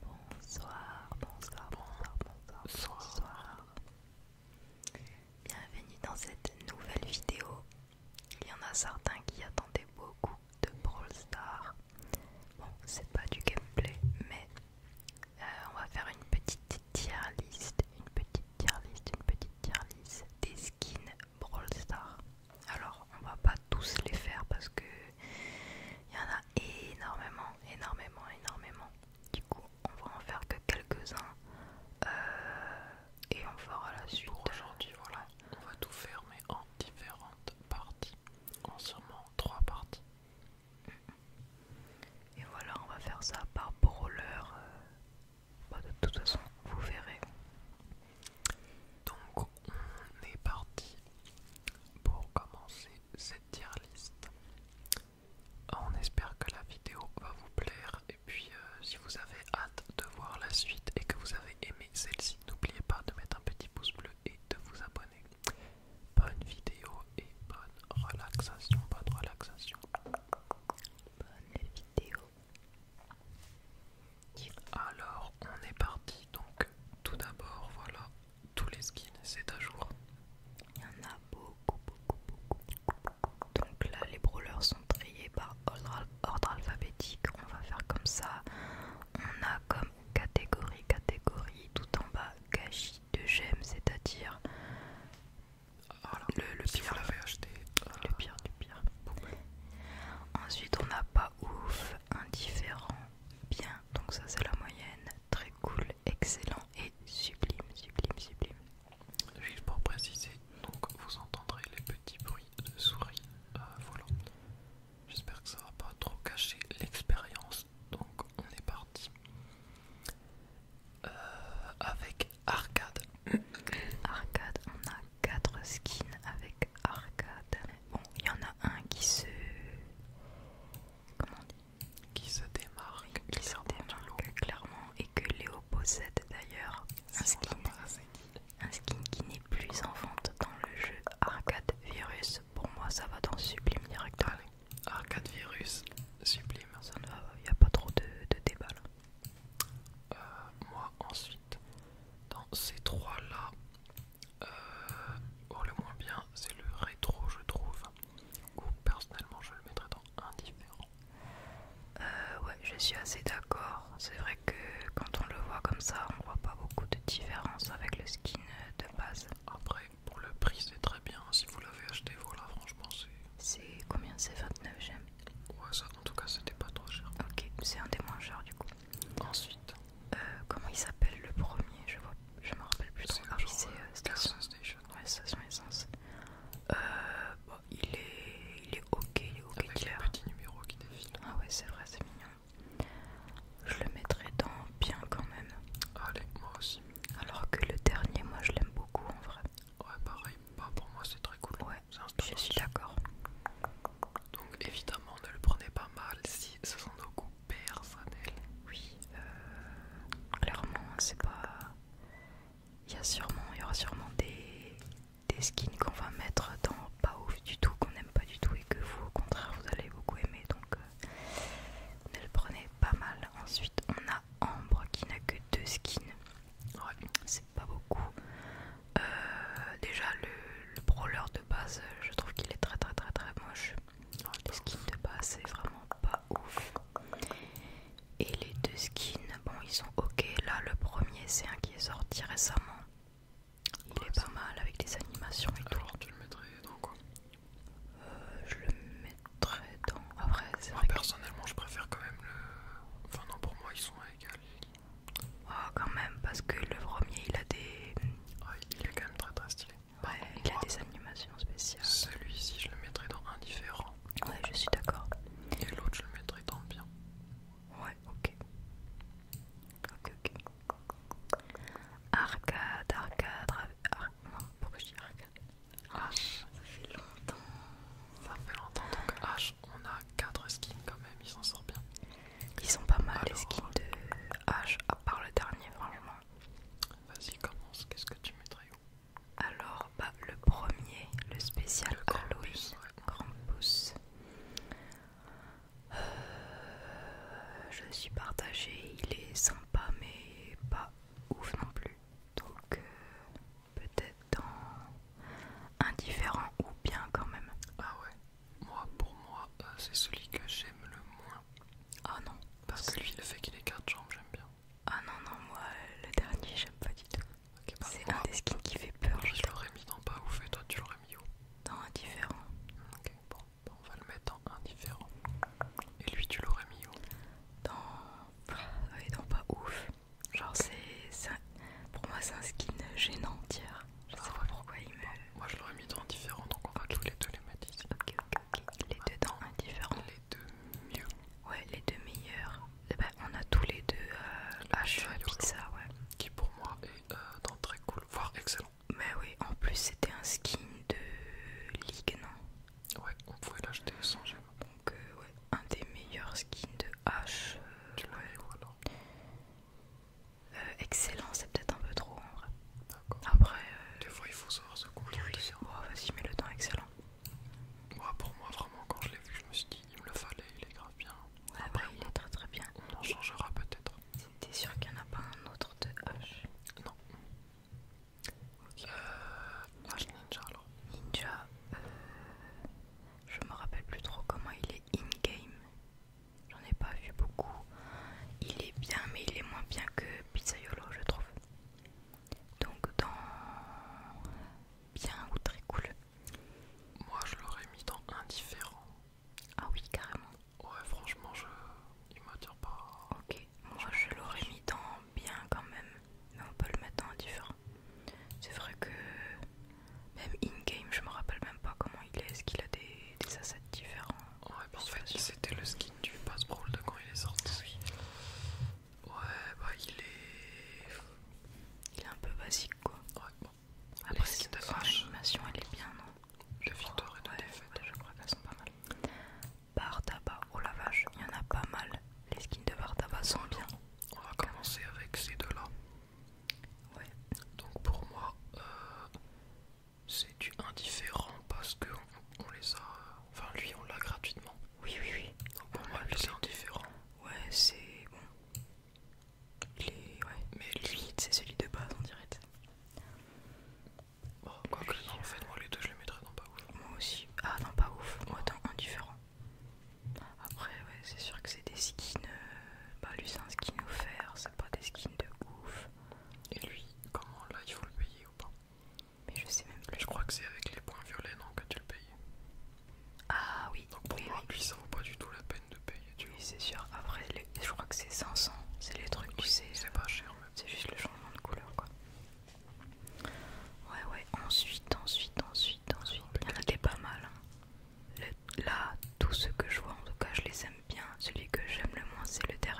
Bonsoir, bonsoir, bonsoir, bonsoir, bonsoir. Bienvenue dans cette nouvelle vidéo. Il y en a certains qui attendaient beaucoup de Brawl Stars. Bon, c'est pas du gameplay, mais euh, on va faire une petite tier list, une petite tier list, une petite tier list des skins Brawl Stars. Alors, on va pas tous les faire parce que il y en a énormément, énormément, énormément. Du coup, on va en faire que quelques-uns euh, et on fera la suite. aujourd'hui, voilà, on va tout faire mais en différentes parties, en seulement trois parties. Et voilà, on va faire ça par brawler. Euh, bah, de toute façon, vous verrez. Donc on est parti pour commencer cette tier liste. On espère que la vidéo va vous plaire et puis euh, si vous avez hâte de voir la suite et que vous avez aimé celle-ci, n'oubliez pas de mettre un petit pouce bleu et de vous abonner. Bonne vidéo et bonne relaxation, bonne relaxation. Bonne vidéo. Alors on est parti donc tout d'abord voilà tous les skins c'est à jour. Il y en a beaucoup beaucoup beaucoup. Donc là les brawlers sont triés par ordre, alphabétique. On va faire comme ça. On a comme catégorie catégorie tout en bas gâchis de gemmes c'est-à-dire le, pire. acheté, Le euh, pire du pire. Ensuite on n'a pas ouf, indifférent, bien, donc ça c'est la moyenne, très cool, excellent et sublime, sublime, sublime. Juste pour préciser, donc vous entendrez les petits bruits de souris, euh, volantes. J'espère que ça va pas trop cacher l'expérience, donc on est parti. Euh, avec arcade. Arcade, on a 4 skins avec arcade. Bon, il y en a un qui se. Comment on dit Qui se démarque, qui se démarque clairement et que Léo possède d'ailleurs. Un, skin qui n'est plus en vente dans le jeu Arcade Virus. Pour moi, ça va dans Sublime directement. Arcade Virus, Sublime. Il n'y a pas trop de, débat là. Euh, moi ensuite dans ces trois là euh, oh, le moins bien, c'est le rétro, je trouve. Ou personnellement, je le mettrais dans indifférent. Euh, ouais, je suis assez d'accord. C'est vrai que quand on le voit comme ça, on voit pas beaucoup de différence avec le skin de base. Après, pour le prix, c'est très bien. Si vous l'avez acheté, voilà, franchement, c'est. C'est combien C'est 29 gemmes Ouais, ça, en tout cas, c'était pas trop cher. Ok, c'est un des moins chers du coup. Ensuite, euh, comment il s'appelle le premier Je vois, je me rappelle plus trop. C'est ah c'est euh, Station Station. Ouais, Station Essence. Euh, il est, il est ok, il est a Avec petit les qui défilent. Ah ouais, c'est vrai, c'est mignon. Je le mettrai dans bien quand même. Allez, moi aussi. Alors que le dernier, moi, je l'aime beaucoup en vrai. Ouais, pareil. Bah, pour moi, c'est très cool. Ouais, je suis d'accord. Donc évidemment ne le prenez pas mal si ce sont nos goûts personnels. Oui, euh, clairement c'est pas... Il y a sûrement, y aura sûrement des, des skins qu'on va mettre dans pas ouf du tout, qu'on n'aime pas du tout et que vous au contraire vous allez beaucoup aimer. Donc euh, ne le prenez pas mal. Ensuite on a Ambre qui n'a que deux skins. C'est pas beaucoup. Euh, déjà le, brawler de base, je trouve qu'il est très très très très moche. Oh, les skins de base, c'est vraiment pas ouf. Et les deux skins, bon, ils sont ok. Là, le premier, c'est un qui est sorti récemment. Il est pas mal avec les animations et tu le mettrais dans quoi euh, Je le mettrais dans. Après, Moi, personnellement, je préfère quand même le. Enfin, non, pour moi, ils sont égal Oh, quand même, parce que le premier il a des. il est quand même très très stylé. il a des animations spéciales. Celui-ci, je le mettrais dans indifférent. Ouais, je suis d'accord. Et l'autre, je le mettrais dans bien. Ouais, ok. Ok, ok. Arcade, arcade, arcade. pourquoi je dis arcade H. Ça fait longtemps. Ça fait longtemps, donc H on a quatre skins quand même, ils s'en sortent bien. Ils sont pas mal les skins de H, à part le dernier, franchement. Vas-y, commence, qu'est-ce que tu mettrais où Alors, bah, le premier, le spécial le grand pouce. Euh, je suis partagé, il est sympa, mais pas ouf non plus. Donc, euh, peut-être dans indifférent ou bien quand même. Ah ouais. Moi, pour moi, euh, c'est celui que j'aime le moins. Ah non. Parce que lui, le fait qu'il ait quatre jambes, j'aime bien. Ah non, non, moi, le dernier, j'aime pas du tout. c'est un des skins qui fait peur. Je l'aurais mis dans pas ouf et toi, tu l'aurais mis où Dans indifférent. Ok, bon, ben, on va le mettre dans indifférent. Et lui, tu l'aurais mis où Dans. Ouais, dans pas ouf. Genre, c'est. Pour moi, c'est un skin gênant, tiens. Je sais pas pourquoi il Moi je l'aurais mis dans différents, donc on va tous les deux les Ok, Les deux dans différents Les deux mieux. Ouais, les deux meilleurs. Eh ben, on a tous les deux H euh, pizza, Qui pour moi est euh, dans très cool, voire excellent. Mais oui, en plus c'était un skin de Ligue, non Ouais, on pouvait l'acheter sans gemme. Donc, euh, ouais, un des meilleurs skins de H. Tu l'as alors euh, excellent, c'est peut-être un peu trop en vrai. Après, euh, des fois il faut savoir se contenter. Oh, vas-y, mets le temps excellent. pour moi, vraiment, quand je l'ai vu, je me suis dit, il me le fallait, il est grave bien. Ah Après, bah, il est très très bien. On en changera peut-être. T'es sûr qu'il n'y en a pas un autre de H Non. Ok. H euh, Ninja alors. Ninja, je me rappelle plus trop comment il est in-game. J'en ai pas vu beaucoup. Il est bien, mais il est moins bien que Pizzaiolo, je trouve. Donc, dans bien ou très cool. Moi, je l'aurais mis dans indifférent. Ah oui, carrément. Ouais, franchement, je... il m'attire pas. Ok, moi, je l'aurais mis dans bien quand même. Mais on peut le mettre dans indifférent. C'est vrai que même in-game, je me rappelle même pas comment il est. Est-ce qu'il a des, assets différents Ouais, parce en fait, c'était le skin du Pass Brawl de quand il est sorti. Ah ouais, bah il est. Il est un peu basique quoi. Ouais, bon. Après, son animation elle est bien, non De victoire et de ouais, défaite. je crois qu'elles sont pas mal. bartaba oh la vache, il y en a pas mal. Les skins de bartaba sont bien. On va commencer avec ces deux là. Ouais. Donc pour moi, euh, c'est du indifférent parce que on, les a. Enfin, lui, on l'a gratuitement. Oui, oui, oui. Donc pour moi, c'est indifférent. Ouais, c'est bon. Mais lui, c'est celui de base en direct. Bah, quoi que non, en fait, moi les deux, je les mettrais dans pas ouf. Moi aussi. Ah, non pas ouf. Moi, dans indifférent. Après, ouais, c'est sûr que c'est des skins. Euh, bah, lui, c'est un skin offert, c'est pas des skins de ouf. Et lui, comment là, il faut le payer ou pas Mais je sais même plus. Je crois que c'est avec les points violets, non, que tu le payes. Ah oui. Donc pour moi, ça vaut pas du tout la peine de payer, oui, c'est sûr. Après, je crois que c'est 500. C'est les trucs, tu sais. C'est euh, pas cher, même. C'est juste le changement de couleur, quoi. Ouais, ouais. Ensuite, ensuite, ensuite, ensuite. Il y en a des pas mal. Hein là, tout ce que je vois, en tout cas, je les aime bien. Celui que j'aime le moins, c'est le dernier.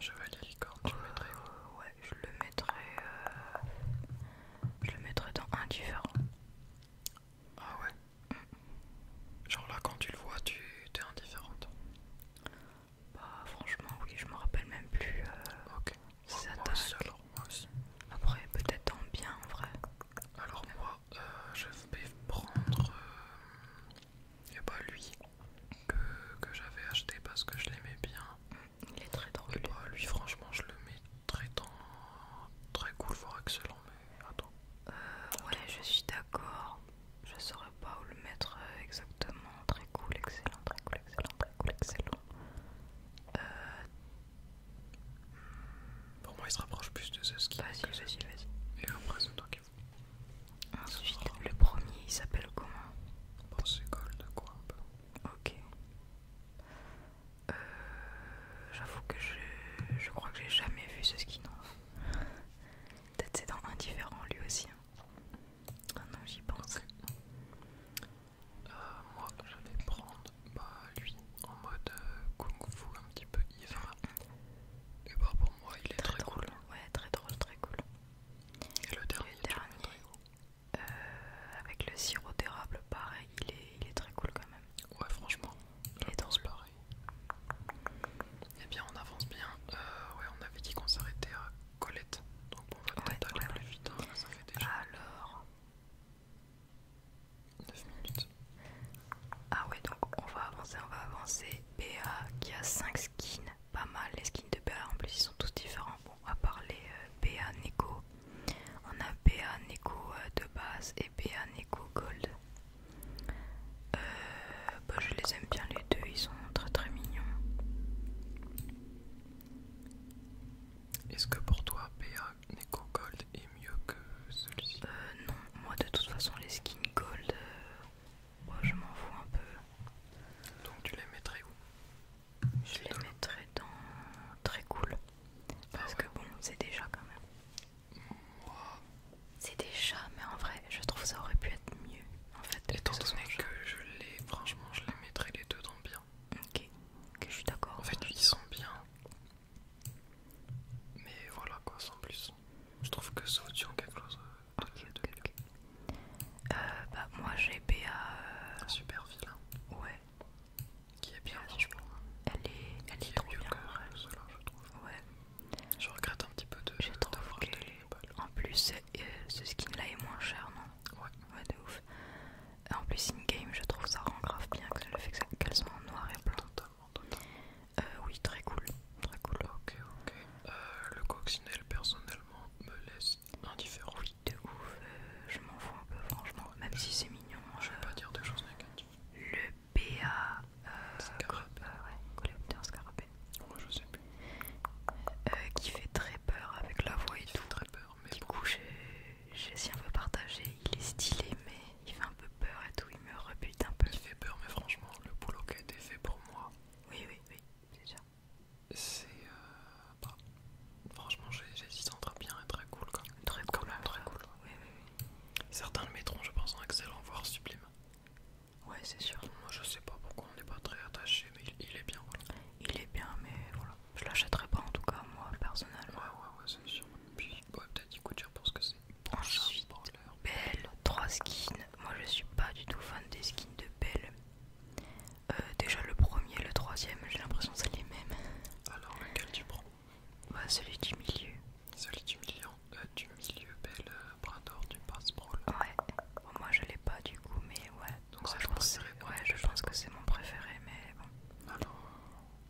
je vais tu le euh, mettrais Ouais, je le mettrais. Euh, je le mettrais dans indifférent. Ah ouais mm. Genre là, quand tu le vois, tu es indifférente Bah, franchement, oui, je me rappelle même plus. Euh, ok, Après, peut-être en bien en vrai. Alors, moi, euh, je vais prendre a euh, pas eh ben, lui que, j'avais acheté parce que je l'aimais bien. Il est très eh ben, lui, franchement, je le mets très dans très cool, voire excellent. Mais attends. Euh, ouais, je suis d'accord. Je saurais pas où le mettre exactement. Très cool, excellent, très cool, excellent, très cool, excellent. Pour moi, il se rapproche plus de ce ski. Vas-y, vas-y, vas-y. Et après, c'est Ensuite, ah, le premier, il s'appelle comment Bon, c'est gold, quoi. Ok. Euh, j'avoue que je, je crois que j'ai jamais vu ce ski, non Peut-être c'est dans Indifférent lui aussi. Hein. Ah non, j'y pense. Euh, moi, je vais prendre bah, lui en mode euh, kung fu un petit peu ivre. Et bah pour moi il est très, cool. Ouais très drôle, très cool. Et le dernier, euh, avec le sirop d'érable pareil, il est, il est très cool quand même. Ouais franchement, il est drôle pareil. Et eh bien on avance bien. Euh, on avait dit qu'on s'arrêtait à Colette. Donc on va peut-être aller plus vite, hein, Alors 9 minutes. Ah ouais, donc on va avancer, on va avancer. BA qui a 5 skins, pas mal les skins de BA, en plus ils sont tous différents. Bon, à parler les BA euh, Neko, on a BA Neko euh, de base et BA Neko Gold. Euh, bah, je les aime bien les deux, ils sont très très mignons. Est-ce que pour toi BA Neko Gold est mieux que celui-ci euh, non, moi de toute façon les Skin Gold, moi, euh, je m'en fous un peu. Donc tu les mettrais où Je les mettrais dans très cool. Parce ah que bon, c'est déjà quand même. C'est déjà, mais en vrai, je trouve ça aurait pu être mieux. En fait, Étant que je les, franchement, je les mettrais les deux dans bien. Ok, que je suis d'accord. En fait, ils sont bien. Mais voilà quoi, sans plus. Je trouve que ça toujours quelque chose euh, de, euh, bah, moi j'ai BA. Euh, super vilain. Ouais. Qui est bien, franchement. Elle est, elle est, trop bien. ouais. je regrette un petit peu de. les balles. En plus, ce skin là est moins cher, non Ouais. Ouais, de ouf en plus, in-game, je trouve ça rend grave bien que le fait qu'elles soient en noir et blanc. Totalement, totalement. Euh, oui, très cool. Très cool. Ok, ok. Euh, le coccinelle, personnellement, me laisse indifférent. Oui, de ouf. Euh, je m'en fous un peu, franchement. Même si c'est mignon. Je vais pas dire des choses négatives. Le BA Euh, Scarabée. au ouais, coléoptère scarabée. Ouais, je sais plus. qui fait très peur avec la voix et il tout. Fait très peur, mais du coup, j'ai essayé un peu partagé. Il est stylé, mais il fait un peu peur et tout, il me rebute un peu. Il fait peur, mais franchement, le boulot qui a été fait pour moi. Oui, oui, oui, c'est sûr. C'est. Euh, bah, j'ai franchement, j'hésite très bien et très cool. Quoi. Très cool, très cool. Oui, Certains le mettront, je pense, en excellent, voire sublime. Ouais, c'est sûr. Moi, je sais pas pourquoi on n'est pas très attaché, mais il, est bien, Il est bien, mais voilà. Je l'achèterai pas en tout cas, moi, personnellement. Ouais, ouais, ouais, c'est sûr. Puis, peut-être écoute, je pense que c'est. Ensuite, Belle, 3 skins. Moi, je suis pas du tout fan des skins de Belle. Euh, déjà le premier, le troisième, j'ai l'impression que c'est les mêmes. Alors, lequel tu prends bah, celui du milieu. Celui du milieu, euh, du milieu Belle, euh, bras Brador, du Pass Brawl. Ouais, moi je l'ai pas du coup, mais ouais. Donc, ça je, pense, que c'est mon préféré, mais bon. Alors,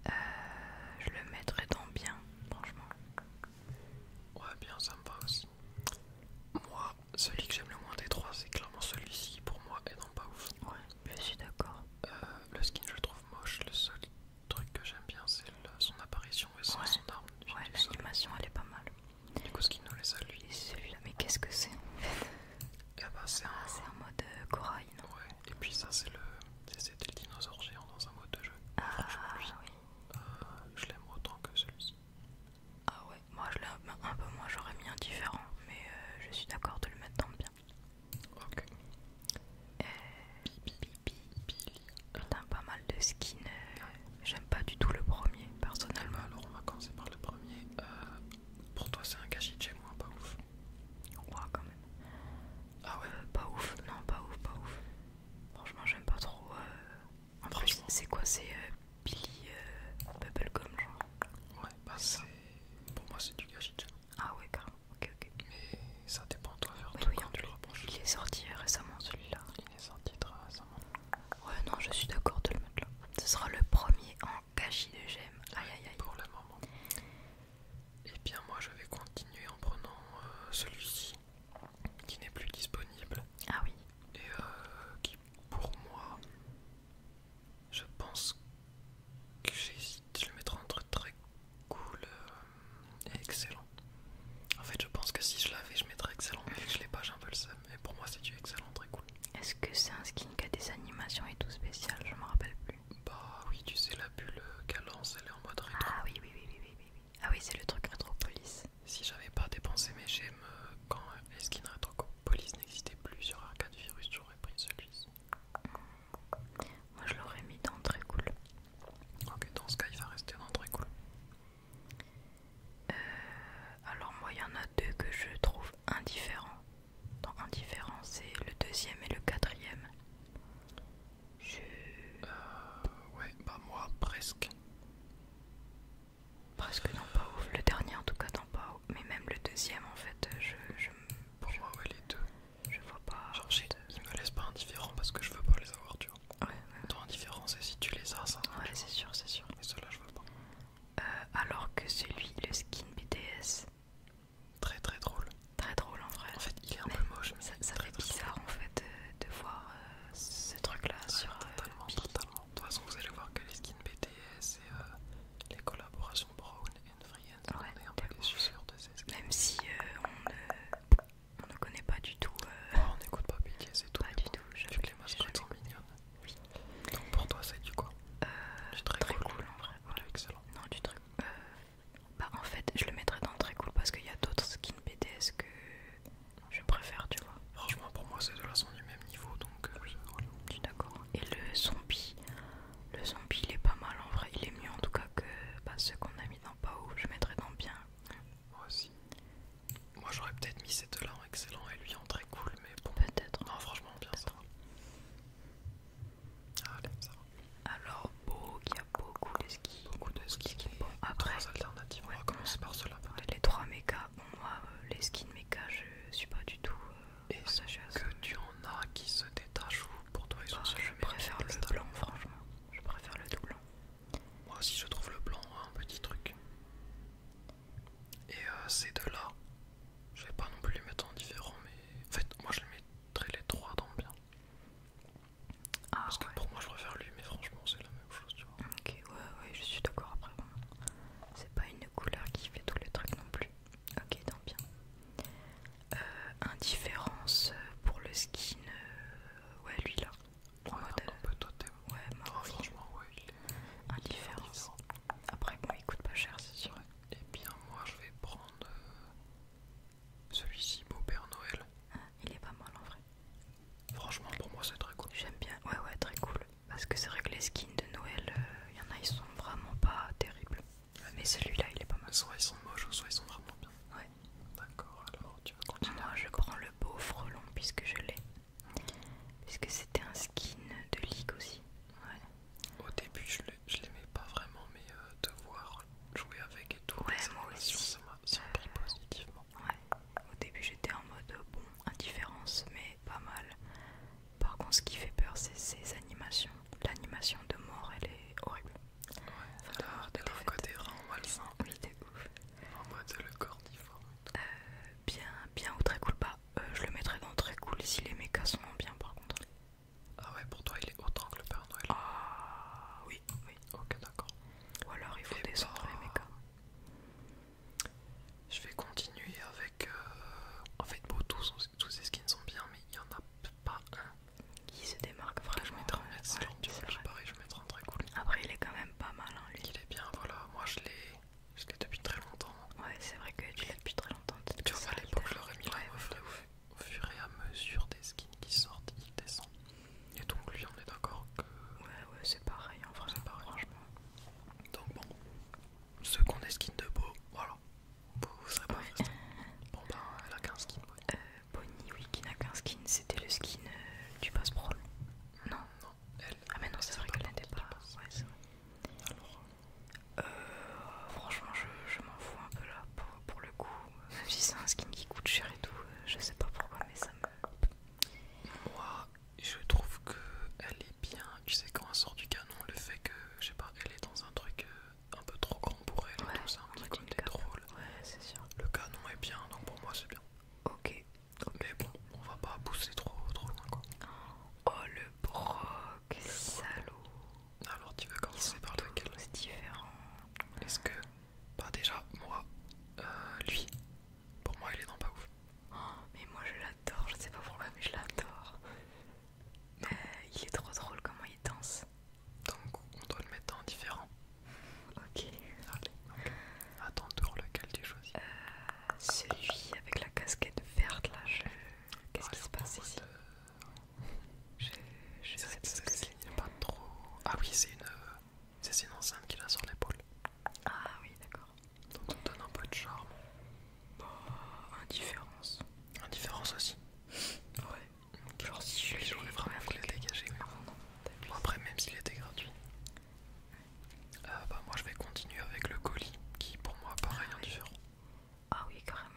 euh, je le mettrais dans bien, franchement. Ouais, bien, ça me Moi, celui que j'aime le moins des trois, c'est clairement celui-ci. Pour moi, est dans pas ouf. Ouais, je suis d'accord. Euh, le skin, je le trouve moche. Le seul truc que j'aime bien, c'est son apparition et son, arme. Ouais, l'animation, elle est pas mal. Du coup, ce qui nous laisse à lui. Celui-là, mais qu'est-ce que c'est en fait eh ben, ah bah, C'est un... mode euh, corail, non et puis ça c'est le c'était le dinosaure géant dans un mode de jeu. Ah, Franchement oui. Euh, je l'aime autant que celui-ci. Ah ouais, moi je l'aime un peu moins, j'aurais mis un différent, mais euh, je suis d'accord de le mettre dans bien. Ok. Euh, pas mal de skins. Euh, j'aime pas du tout le premier, personnellement. Eh ben, alors on va commencer par le premier. pour toi c'est un gâchis chez moi, pas ouf. Ouais Ouah quand même. Ah ouais, euh, pas ouf. Non, pas ouf, pas ouf. Franchement, j'aime pas trop. En euh, plus, c'est quoi C'est euh, Billy Bubblegum, genre Ouais, bah c'est. Pour moi, c'est du gâchis déjà. Ah ouais, carrément. Ok, ok. Mais ça dépend toi, faire oui, Il est sorti récemment celui-là. Il est sorti très récemment. Ouais, non, je suis d'accord de le mettre là. Ce sera le premier en gâchis de gemmes. Aïe aïe aïe. Pour le moment. Et eh bien moi je vais continuer en prenant euh, celui-ci qui n'est plus disponible. Ah oui. Et euh, qui pour moi, je pense que j'hésite, je le mettrai entre très cool euh, et excellent. En fait je pense que si je l'avais je mettrais excellent, je l'ai pas j'ai un peu le seum. mais pour moi c'est du excellent très cool. Est-ce que c'est un skin qui a des animations et tout spécial Je me rappelle plus. Bah oui, tu sais, la bulle calence euh, elle est en mode rétro. Ah oui, oui, oui, oui, oui. oui. Ah oui, c'est le truc Retropolis. Si j'avais pas dépensé mes gemmes euh, quand les euh, skins Retropolis n'existait plus sur Arcade Virus, j'aurais pris celui-ci. Moi je l'aurais mis dans très cool. Ok, dans ce cas il va rester dans très cool. alors moi il y en a deux que je trouve indifférents. Dans indifférent, c'est le deuxième et le quatrième. Je. Euh, ouais, bah moi, presque. Presque non, pas ouf. Le dernier, en tout cas, non, pas ouf. Mais même le deuxième, en fait, je. je Pour moi, les deux. Je vois pas. Genre, ils me laissent pas indifférent parce que je veux pas les avoir, tu vois. Ouais, ouais. Dans indifférent, c'est si tu les as, ça. Ouais, c'est sûr, c'est sûr. Mais ceux je veux pas. Euh, alors que celui, le skin BTS. Très très drôle. Très drôle en vrai. En fait, il est un peu moche. Mais ça, fait bizarre en fait de, voir euh, ce truc là sur. Euh, totalement, totalement. De toute façon, vous allez voir que les skins BTS et euh, les collaborations Brown et Friends, on est un peu de ces skins. Même si on, ne, on ne connaît pas du tout. Oh, on n'écoute pas BTS et tout. Pas du tout. Je vu que les mascottes sont mignonnes. Donc pour toi, c'est du quoi Du très, très cool, en vrai. excellent. Non, du très euh, bah en fait je le mettrais dans très cool parce qu'il y a d'autres skins BTS que je préfère tu vois franchement pour moi ces deux là sont du même niveau donc euh, je suis d'accord et le zombie le zombie il est pas mal en vrai il est mieux en tout cas que bah, ceux qu'on a mis dans pau. je mettrais dans bien moi aussi moi j'aurais peut-être mis ces deux là en excellent et lui en très cool mais bon peut-être non franchement bien ah, Alors, beau, il y a beaucoup de skis. Beaucoup de ski trois alternatives, on va commencer par cela. les trois mécas, moi, euh, les skins meca je suis pas du tout Et euh, ce que tu en as qui se détachent pour toi ils sont ah, Je préfère le blanc, franchement. Je préfère le tout blanc. Moi aussi, je trouve le blanc hein, un petit truc. Et euh, c'est ces deux-là, je vais pas non plus les mettre en différent, mais en fait, moi je les mettrai les trois dans bien. Ah, Parce que pour moi je préfère lui, mais franchement c'est la même chose, tu vois. Ok, ouais, ouais, je suis d'accord après. C'est pas une couleur qui fait tous les trucs non plus. Ok, dans bien. Euh, indifférence euh, pour le skin, euh, ouais, lui là. Ouais, ouais, franchement, ouais, Indifférence. Après, bon, il coûte pas cher, c'est sûr. Et eh bien, moi je vais prendre euh, celui-ci, Beau Père Noël. Ah, il est pas mal en vrai. Franchement, pour moi, c'est très cool. J'aime bien, ouais, ouais, très cool. Parce que c'est vrai que les skins de Noël, il euh, y en a, ils sont vraiment pas terribles. mais celui-là, il est pas mal. Soit ils sont moches, soit ils sont vraiment bien. Ouais. D'accord, alors tu vas continuer. je prends le beau frelon puisque je l'ai. Puisque c'était un skin de ligue aussi. Au début, je l'aimais pas vraiment, mais euh, de voir jouer avec et tout, ça m'a pris positivement. Au début, j'étais en mode euh, bon, indifférence, mais pas mal. Par contre, ce qui fait peur, c'est ces animations. L'animation de mort, elle est horrible. Ouais, de l'autre côté Oui, En mode euh, le corps Bien, bien ou très cool, pas. Bah, je le mettrais dans très cool si les mechas sont bien, par contre. Ah ouais, pour toi il est autant que le Père Noël. Ah oui, oui. Ok, d'accord. Ou alors il faut eh ben, descendre les mecs Je vais continuer avec... Euh, en fait, tous, tous ces skins sont bien, mais il n'y en a pas un. Qui se démarque vraiment. Je mettrai un je pareil, je un très cool. Après il est quand même pas mal, hein, lui. Il est bien, voilà. Moi je l'ai depuis très longtemps. Ouais, c'est vrai que tu l'as depuis très longtemps. Tu vois, à l'époque, je l'aurais mis ouais, reflet au fur et à mesure des skins qui sortent, il descend. Et donc, lui, on est d'accord que. Ouais, ouais, c'est pareil en C'est pareil, franchement. Donc, bon, ceux qu'on des skin de beau, voilà. Bon, ben, elle a qu'un skin. Bonnie. Euh, Bonnie, oui, qui n'a qu'un skin, c'était le skin euh, du passe-pro. Non, non, elle. Ah, mais non, c'est vrai qu'elle n'était pas. Ouais, c'est euh, franchement, je, m'en fous un peu là pour, le coup. Même si c'est un skin qui coûte cher et tout, euh, je sais pas pourquoi, mais ça me. Moi, je trouve que elle est bien. Tu sais, quand elle sort du canon, le fait que, je sais pas, elle est dans un truc euh, un peu trop grand pour elle et tout ça, un petit côté drôle. Ouais, c'est sûr. Le canon est bien, donc pour moi, c'est bien. Ok. Mais bon, on va pas pousser trop, trop loin quoi. Oh le broc Oh, quel salaud Alors tu veux commencer par lequel C'est différent. Est-ce que... Bah déjà, moi, euh, lui, pour moi il est dans pas ouf. Oh, mais moi je l'adore, je sais pas pourquoi mais je l'adore. Mais euh, il est trop drôle comment il danse. Donc on doit le mettre en différent. Ok. Allez, ton tour, lequel tu choisis euh, Celui avec la casquette verte là, je... Qu'est-ce qui se passe ici je, je sais pas trop. Ah oui, c'est une, une enceinte qu'il a sur l'épaule. Ah oui, d'accord. Donc ça donne un peu de charme. Bah... indifférence. Indifférence aussi. Ouais. Genre si je voulais vraiment vous le dégager. après, même s'il était gratuit. Euh, bah moi je vais continuer avec le colis qui pour moi apparaît ah indifférent. Ah oui, carrément.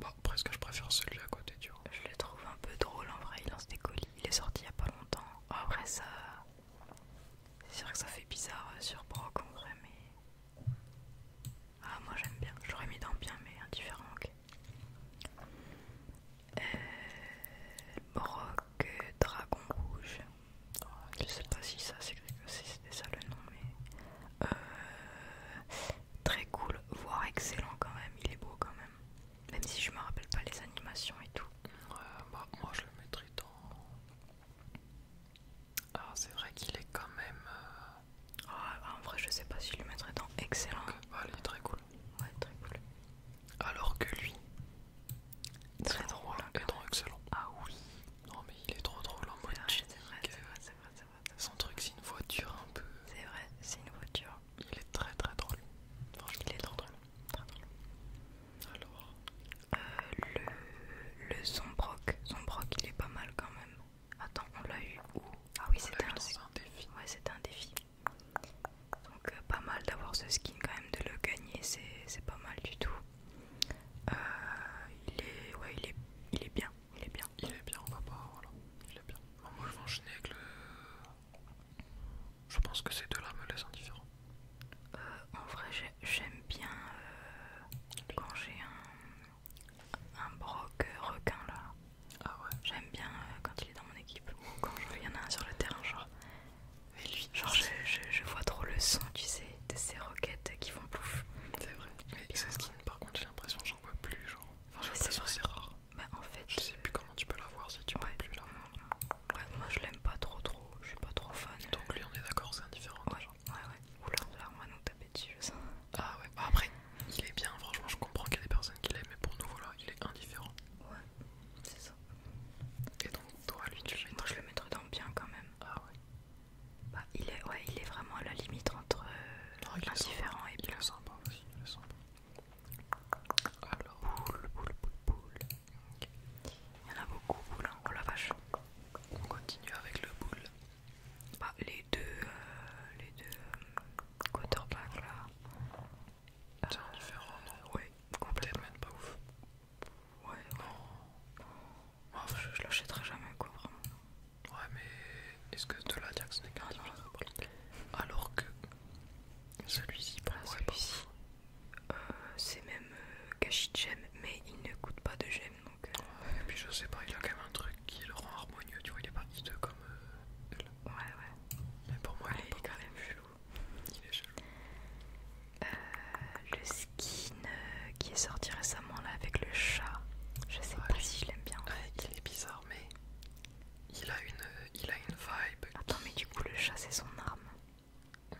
Bon, bah, presque, je préfère celui à côté, tu vois. Je le trouve un peu drôle en vrai, il lance des colis. Il est sorti il y a pas longtemps. Oh, après, ça. C'est sûr que ça fait bizarre euh, sur Brock en vrai, mais. Ah, moi j'aime bien. J'aurais mis dans bien, mais indifférent, ok. Euh, Brock Dragon Rouge. Ah, je sais pas si ça c'est ça le nom, mais euh, très cool, voire excellent quand même. Il est beau quand même, même si je me rappelle pas les animations et tout. Bah, moi je le mettrais dans. Alors c'est vrai qu'il est quand même. Euh, ah, en vrai, je sais pas si je le mettrais dans excellent. Ouais, bah, très cool. Ouais, très cool. Alors que lui, très drôle hein, excellent. Ah oui, non mais il est trop drôle en mode vrai. Son truc c'est une voiture un peu. C'est vrai, c'est une voiture. Il est très très drôle. il est trop drôle. Alors. Euh, le le zombroc il est pas mal quand même. Attends, on l'a eu Ah oui c'était un, défi. Ouais c'était un défi. Donc euh, pas mal d'avoir ce skin quand même, de le gagner, c'est pas mal du tout. Euh, il est, ouais, il est, il est bien, il est bien. Il est bien, on va pas, voilà, il est bien. moi, je vais enchaîner avec le. Je pense que ces deux-là me laissent indifférent. Euh, en vrai, j'aime bien euh, quand j'ai un, un broc requin là. Ah ouais. J'aime bien quand il est dans mon équipe ou quand il y en a un sur le terrain, genre. lui, genre je, je vois trop le son, tu sais de ces roquettes qui font pouf C'est vrai. Mais ces skins, par contre, j'ai l'impression que j'en vois plus. Genre. j'ai c'est rare. Bah, en fait, je sais plus comment tu peux l'avoir si tu vois plus l'avoir. moi je l'aime pas trop, trop. Je suis pas trop fan. Donc, lui, on est d'accord, c'est indifférent. Ouais, ouais, ouais. Oula, là, on va nous taper dessus, je Ah, ouais. Bah, après, il est bien, franchement, je comprends qu'il y a des personnes qui l'aiment, mais pour nous, voilà, il est indifférent. Ouais, c'est ça. Et donc, toi, lui, tu le je le mettrais dans bien quand même. Ah, ouais. Bah, il, est, ouais, il est vraiment à la limite entre indifférent et bien. Il est sympa aussi, il Alors, boule, boule, boule, boule. Il y en a beaucoup, boule, on hein. oh la vache. On continue avec le boule. Bah, les deux, euh, les deux euh, quarterbacks là. C'est indifférent, non euh, Oui, complètement. pas ouf. Ouais, oh, je, l'achèterai jamais, quoi, vraiment. Ouais, mais est-ce que de la dire n'est qu'un Alors que celui-ci, pour l'instant euh, c'est même euh, gâchis de gemme, mais il ne coûte pas de gemmes. donc. Euh, et puis je sais pas, il a quand même un truc qui le rend harmonieux, tu vois, il est pas hideux comme Ouais, ouais. Mais pour moi, il, est quand même chelou. Il est chelou. le ski euh, qui est sortie récemment là avec le chat. Je sais pas si je l'aime bien. ouais, Il est bizarre, mais il a une, il a une vibe. Attends, mais du coup, le chat c'est son arme. Hum,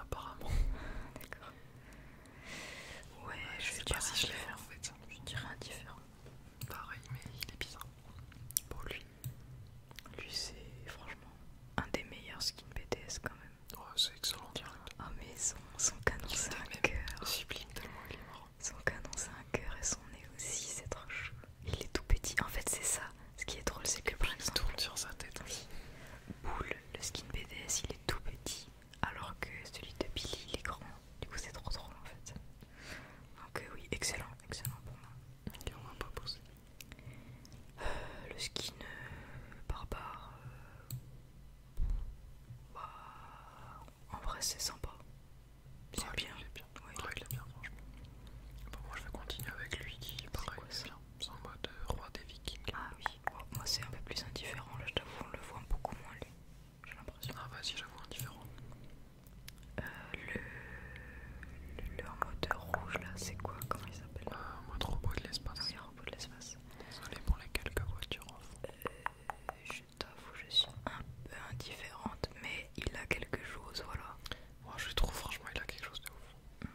apparemment. D'accord. Ouais, je, sais pas si je l'aime en fait. Je dirais indifférent. Pareil, mais il est bizarre. Pour lui, lui c'est franchement un des meilleurs skins BTS quand même. Oh, c'est excellent Ah Oh, mais son, canon, 5 un tellement Son canon, 5 un et son nez aussi, c'est trop chou. Il est tout petit. En fait, c'est ça. Ce qui est drôle, c'est que par exemple, tourne sur sa tête. Boule, le skin BDS, il est tout petit. Alors que celui de Billy, il est grand. Du coup, c'est trop drôle en fait. Donc, euh, oui, excellent, excellent pour moi. Ok, on va pas posé. Euh, le skin euh, barbare, bah, en vrai, c'est sympa. C'est bien. C'est bien. Ouais, il est bien, franchement. Bon, je vais continuer avec lui qui, pareil, est C'est en mode euh, roi des Vikings. Ah oui, oh, moi, c'est un peu plus indifférent. Là, je t'avoue, on le voit beaucoup moins, lui. J'ai l'impression. Ah, vas-y, j'avoue, indifférent. Euh, le... le. en mode rouge, là, c'est quoi Comment il s'appelle En euh, mode de robot de l'espace. Oui, robot de l'espace. Désolée pour les quelques voitures en fond. Euh, je t'avoue, je suis un peu indifférente, mais il a quelque chose, voilà. Moi, je trouve franchement, il a quelque chose de ouf. Mm.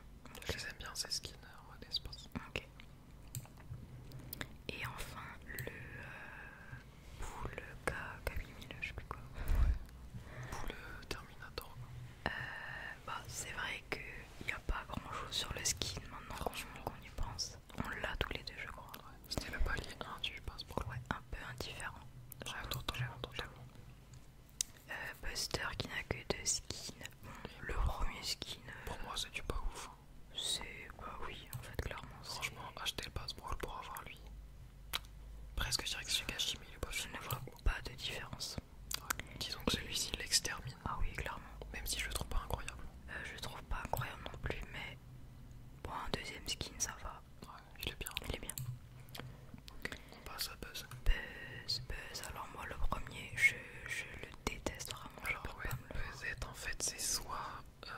Je les aime bien, ces skins en mode Ok. Et enfin, le euh, boule K, 8000 je sais plus quoi. Boule Terminator. Euh, bah, c'est vrai c'est qu'il n'y a pas grand chose sur le skin maintenant franchement qu'on y pense. On l'a tous les deux je crois. C'était le palier 1 du passeport. Ouais, un peu indifférent. J'avoue, totalement, Euh, Buster qui n'a que deux skins. le premier skin. Euh, pour moi c'est du pas ouf. Hein? C'est bah oui en fait clairement. Franchement acheter le passeport pour avoir lui. Presque je dirais que c'est gâchis mais il pas Je ne vois pas de différence disons que celui-ci l'extermine. Ah oui, clairement. Même si je le trouve pas incroyable. Euh, je le trouve pas incroyable non plus, mais pour un deuxième skin, ça va. il est bien. Il est bien. On passe à Buzz. Buzz, Buzz. Alors, moi, le premier, je, le déteste vraiment. Alors, en fait, c'est soit euh,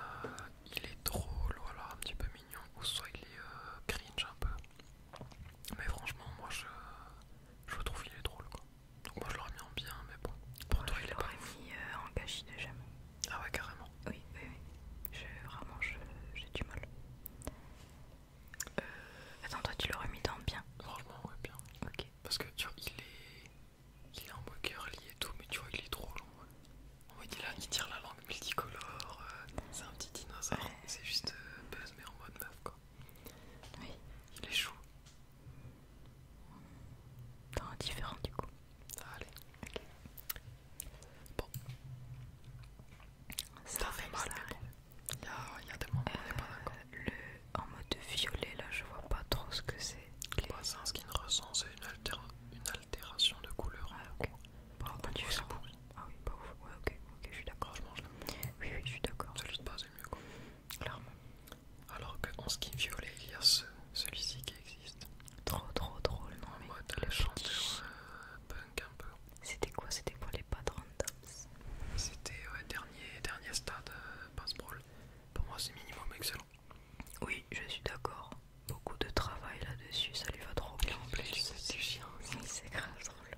il est drôle, alors un petit peu mignon, ou soit il est euh, cringe un peu. Mais franchement, moi, je, je trouve qu'il est drôle, quoi. Moi je l'aurais mis en bien, mais bon. Pour toi, il est pas mis euh, en gâchis jamais. Ah ouais, carrément. Oui, oui, oui. Je, vraiment, j'ai du mal. Euh, attends, toi, tu l'aurais mis dans bien. Franchement, ouais, bien. Ok. Parce que tu vois, il est, il est en mode curly et tout, mais tu vois, il est trop long. On il, a, il tire la langue multicolore. Euh, c'est un petit dinosaure. C'est juste buzz, mais en mode meuf, quoi. Oui, il échoue. un différent du coup. Ah, allez. OK. Bon. Ça, fait mal. Il y, a, y a des moments où on n'est pas d'accord. Euh, le en mode violet là, je vois pas trop ce que c'est. Les... Bah, c'est un skin ressent, c'est une, altération de couleur. Ah, ok. Bon, pas ouf c'est pourri. Ah oui, pas ouf. ok, ok, je suis d'accord. Franchement, je mange. Oui, oui, je suis d'accord. Celui de base est mieux quoi. Clairement. Alors qu'en skin violet, il y a celui-ci qui existe. Trop trop drôle, non en mode euh, punk un peu. C'était quoi C'était pour les pads randoms C'était dernier, dernier stade pas euh, brawl. Pour moi, c'est minimum excellent. Oui, je suis d'accord. Beaucoup de travail là-dessus, ça lui va trop bien en plus. C'est chiant, c'est grave drôle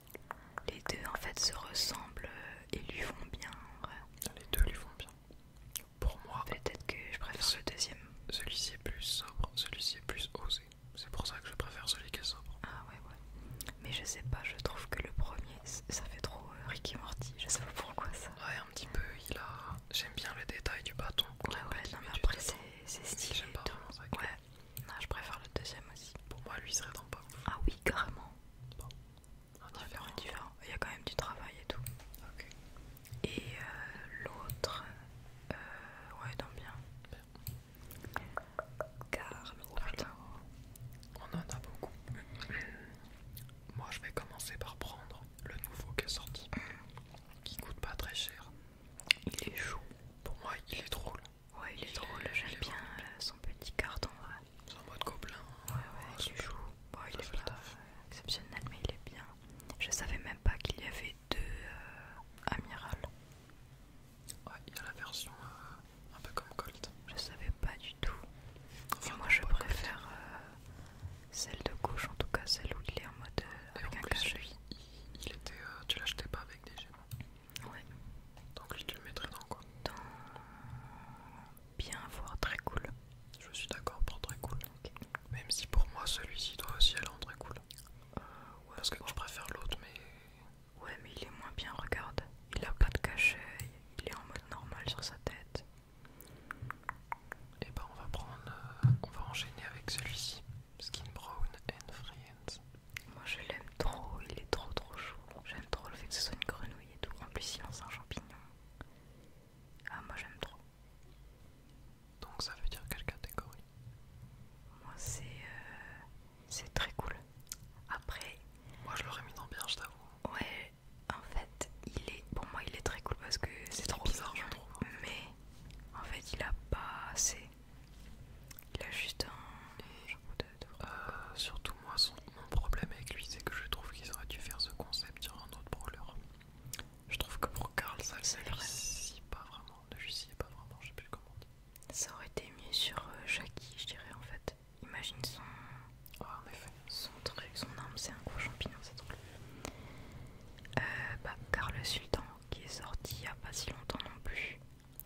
Les deux en fait se ressemblent et lui vont bien. Les deux lui vont bien. Pour moi, peut-être que je préfère ce, le deuxième. Celui-ci est plus sobre, celui-ci est plus osé. C'est pour ça que je préfère celui qui est sobre. Ah ouais ouais. Mais je sais pas, je trouve que le premier, ça fait trop euh, Ricky Morty. Je sais pas pourquoi ça. Ouais un petit peu. Il a. J'aime bien le détail du bâton. Ouais ouais. Non mais après c'est stylé. J'aime pas non, je préfère le deuxième aussi. Pour moi, lui, serait trop pas Ah oui, carrément. Bon, Différent. Il y a quand même du travail et tout. Et euh, l'autre, euh, ouais, dans bien. bien. Car, On en a beaucoup. Moi, je vais commencer par prendre le nouveau qui est sorti, mm. qui coûte pas très cher. Il est chaud. Pour moi, il est drôle. Ouais, il est drôle, j'aime bien euh, son petit carton. son En mode gobelin. Ouais, hein, ouais, oh, il joue. il est pas euh, exceptionnel, mais il est bien. Je savais même pas qu'il y avait deux euh, amiral Ouais, il y a la version un peu comme Colt. Je savais pas du tout. moi, je préfère celle de gauche, en tout cas celle où il est en mode avec un Il, était, tu l'achetais pas avec des gemmes. Ouais. Donc lui, tu le mettrais dans quoi Dans. Bien, voir très cool. Je suis d'accord pour très cool. Même si pour moi, celui-ci doit aussi aller en très cool. Euh, ouais, Parce que moi, je préfère l'autre, mais. Ouais, mais il est moins bien, regarde. Il a pas de cachet, il est en mode normal sur sa tête. Et bah, ben, on va prendre. Euh, on va enchaîner avec celui-ci. Skin Brown and Friends. Moi je l'aime trop, il est trop trop chaud. J'aime trop le fait que ce soit une grenouille et tout. En plus, il lance un champignon. Ah, moi j'aime trop. Donc ça veut dire quelle catégorie Moi c'est. Euh, c'est très cool. Après. Moi je l'aurais mis dans bien, je t'avoue. Ouais, en fait, il est. Pour moi, il est très cool parce que c'est trop bizarre, je trouve. Mais en fait, il a pas assez. Il a euh, surtout, moi, son... mon problème avec lui, c'est que je trouve qu'ils auraient dû faire ce concept sur un autre brawler. Je trouve que pour Karl, ça ne pas vraiment. Ne pas vraiment, je sais plus comment dire. Ça aurait été mieux sur euh, Jacky, je dirais en fait. Imagine ah, son. truc, son arme, c'est un gros champignon, c'est drôle. Euh, bah, Sultan, qui est sorti il n'y a pas si longtemps non plus.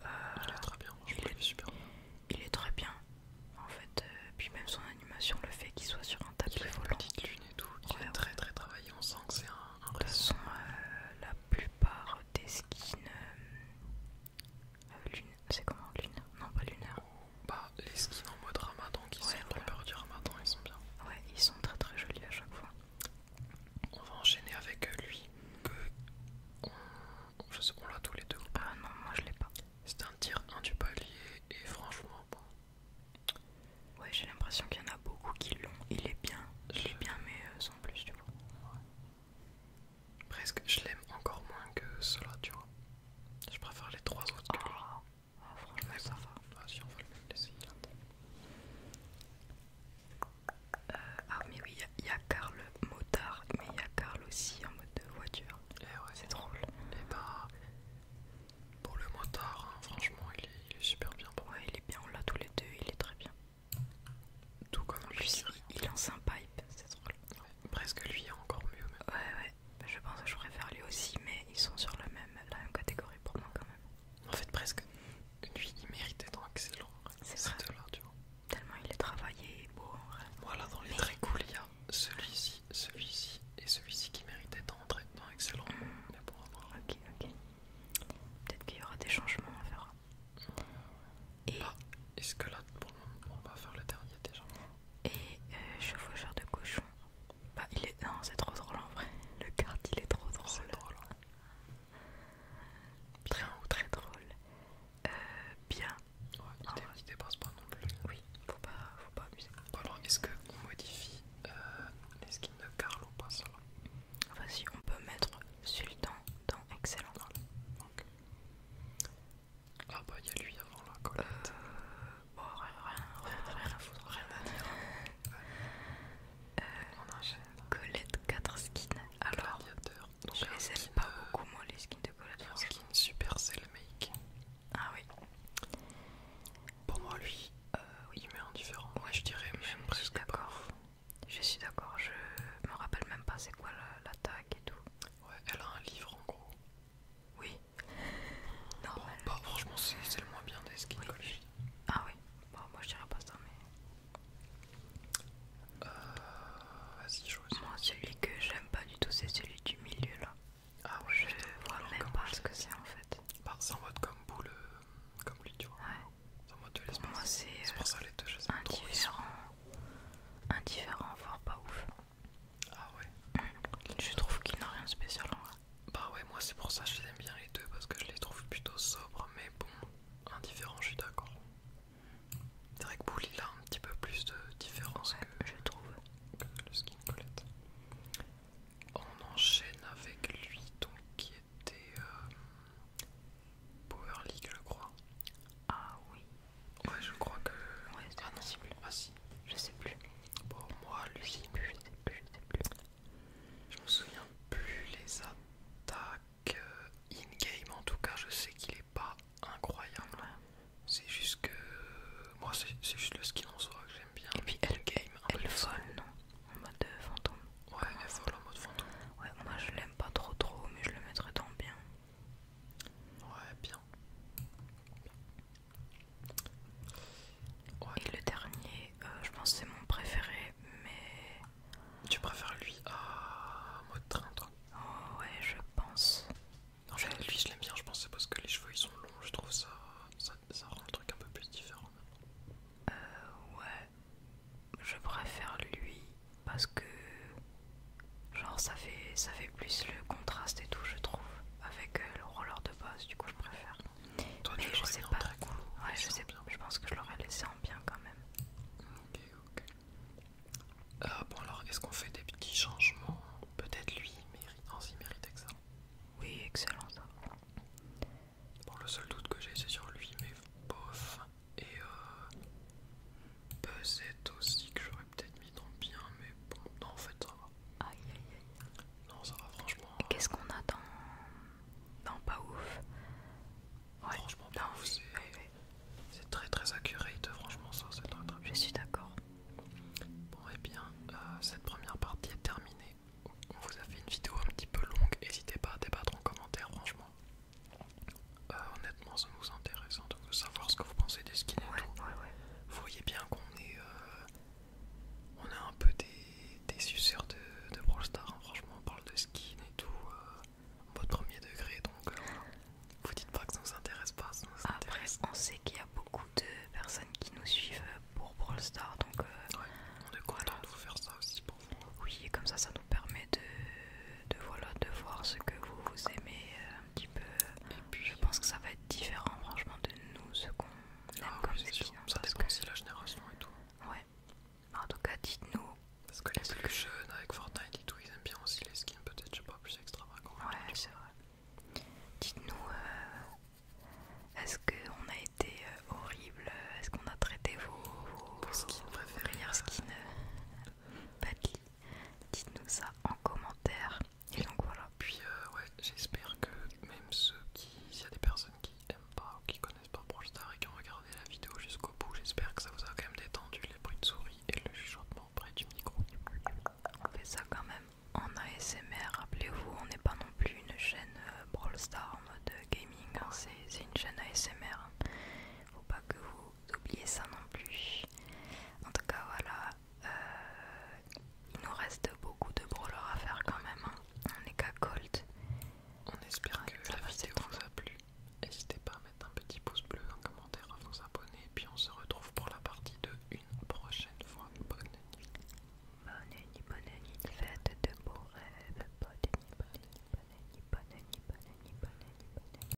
Euh, il est très bien, il, est, super il est très bien en fait. Euh, puis même son animation, le fait qu'il soit sur un tapis volant. Il lune et tout, On est très très travaillé, on sent que c'est un, euh, la plupart des skins... lune, c'est comment Lune Non, pas lunaire. pas bah, les skins en mode ramadan qui sont en du ramadan, ils sont bien. Ouais, ils sont très très jolis à chaque fois. On va enchaîner avec euh, lui on, l'a tous les deux. Ah non, moi je l'ai pas. C'est un tir un du palier et franchement Ouais, j'ai l'impression qu'il y en a beaucoup qui l'ont. Il est bien, bien mais euh, sans plus, tu vois. Presque, je l'aime encore moins que cela, tu vois. Je préfère les trois autres ah, ah, franchement, ça va. vas bah, on va le euh, ah mais oui, il y a, Carl motard, mais il y a Carl aussi en mode voiture. Eh c'est drôle. mais eh bah ben, pour le motard, hein, franchement, il est, super bien. pour Ouais, il est bien. On l'a tous les deux. Il est très bien. Tout comme lui. Il, il en un pipe, c'est drôle. presque lui, encore mieux. Ouais, ouais. Je pense que je préfère lui aussi, mais ils sont sur même, la même catégorie pour moi quand même. En fait, presque lui il mérite d'être excellent. C'est vrai. Tellement il est travaillé et beau Voilà, dans les très cool, il y a celui-ci, celui-ci et celui-ci qui méritait d'être entré excellent. Mm. Mais bon, avoir... Ok, ok. Peut-être qu'il y aura des changements à faire. Ouais, Et... Est-ce que là, pour le moment, on va faire le dernier déjà Et euh, chevaucheur de cochon. Bah, il est. Non, c'est trop drôle en vrai. Le kart, il est trop drôle. C'est drôle très ou très drôle, euh, bien. Ouais, ne ne passe pas non plus. Oui, faut pas, faut pas abuser. Bon, alors, est-ce qu'on modifie euh, les skins de Carl ou pas ça Enfin, si on peut mettre Sultan dans Excellent. dans Donc. Ah, bah, il y a lui avant la Colette. Euh, rien, à dire. euh, Colette 4 skin Alors, donc je les aime pas Comment euh, beaucoup, moi, les skins de Colette. Un skin cell Make. Ah oui. Pour moi, lui, euh, oui. il m'est indifférent. Moi, je dirais je même presque d'accord. Je suis d'accord, je me rappelle même pas c'est quoi l'attaque et tout. Ouais, elle a un livre en gros. Oui. Non, bon, bah, franchement, c'est le moins bien des skins Ah oui, bon, moi je dirais pas ça, mais. Euh, moi, celui que j'aime pas du tout, c'est celui du milieu là. Ah ouais, je vois même pas ce que c'est en fait. Bah, c'est en mode comme boule, euh, comme lui, tu vois. Ouais. C'est en mode de l'espace. Pour moi, c'est pour euh, ça les deux, je indifférent, indifférent, voire pas ouf. Ah ouais. Je trouve qu'il n'a rien de spécial en vrai. Bah ouais, moi c'est pour ça que je les aime bien les deux parce que je les trouve plutôt sobres, mais bon, indifférent, je suis d'accord. C'est vrai que Bouli, il a un petit peu plus de différence que, je trouve. que le skin Colette. On enchaîne avec lui, donc qui était euh, Power League, je crois. Ah oui. Ouais, je crois que. ah, plus. si. Je sais plus. Bon, moi, lui. Je je sais plus, je me souviens plus les attaques que euh, in-game en tout cas je sais qu'il est pas incroyable. C'est juste que euh, moi c'est juste le skin en soi que j'aime bien. Et puis elle game, elle vole non en mode euh, fantôme. Ouais elle vole en mode fantôme. Ouais moi je l'aime pas trop trop mais je le mettrais dans bien. Ouais bien. Et le dernier, je pense c'est mon préféré, mais tu préfères lui à mode train, toi oh, ouais, je pense. lui, je l'aime bien, je pense, c'est parce que les cheveux ils sont longs, je trouve ça, ça, rend le truc un peu plus différent. Euh, ouais, je préfère lui parce que, genre, ça fait, ça fait plus le contraste et tout, je trouve, avec euh, le roller de base, du coup, je préfère. Toi, Mais tu je sais pas. ouais, je sais bien. Je pense que je l'aurais laissé bien quand même. Ok, ok. Ah, bon, alors est-ce qu'on fait des petits changements Peut-être lui il mérite. Non, s'il mérite ça. Oui, excellent ça. Bon, le seul doute que j'ai c'est sur lui, mais bof. Et euh, peut-être bah, aussi que j'aurais peut-être mis dans bien, mais bon, non, en fait ça va. Aïe aïe Non, ça va franchement. Qu'est-ce euh, qu'on attend? Non, pas ouf. franchement, C'est très très accurate, franchement, ça, c'est très très Je suis d'accord. Bon, et eh bien, euh, cette première partie est terminée. On vous a fait une vidéo un petit peu longue. N'hésitez pas à débattre en commentaire, franchement. Euh, honnêtement, ça nous intéresse hein, de savoir ce que vous pensez des skin et tout. Vous voyez bien qu'on est. Euh, on a un peu des des, de, de Brawl Stars. Hein. Franchement, on parle de skin et tout, votre euh, premier degré. Donc, euh, vous dites pas que ça nous intéresse pas. Ça Après, on sait qu'il y a beaucoup de personnes qui nous suivent euh, pour Brawl Stars. Donc, on est de vous faire ça aussi pour vous. Oui, comme ça, ça nous permet de, de, voilà, de voir ce que vous, vous aimez un petit peu. Et puis, je pense que ça va être différent, franchement, de nous, ce qu'on ah aime comme hein, ça dépend la génération et tout. Ouais, en tout cas, dites-nous. Parce que les plus, jeunes avec Fortnite et tout, ils aiment bien aussi les skins, peut-être, je sais pas, plus extravagants. Ouais, c'est vrai. Dites-nous, euh, est-ce qu'on a été euh, horrible euh, Est-ce qu'on a traité vos, skins... vos skins préférés skins euh, Dites-nous ça en commentaire. Et donc voilà. Puis, ouais, j'espère que même ceux qui. S'il y a des personnes qui qui connaissent pas Brawl Stars et qui ont regardé la vidéo jusqu'au bout. J'espère que ça vous a quand même détendu les bruits de souris et le chuchotement près du micro. On fait ça quand même en ASMR. Rappelez-vous, on n'est pas non plus une chaîne euh, Brawl Stars en mode euh, gaming, hein, c'est une chaîne ASMR. Hein. Faut pas que vous oubliez ça non plus. En tout cas, voilà. Euh, il nous reste beaucoup de brawlers à faire quand même. Hein. On est qu'à Colt on espère que la vidéo vous a plu. N'hésitez pas à mettre un petit pouce bleu, un commentaire, à vous abonner. Et puis on se retrouve pour la partie de une prochaine fois. Bonne nuit. Bonne nuit, de beaux bonne nuit, bonne nuit, bonne nuit, bonne nuit, bonne nuit.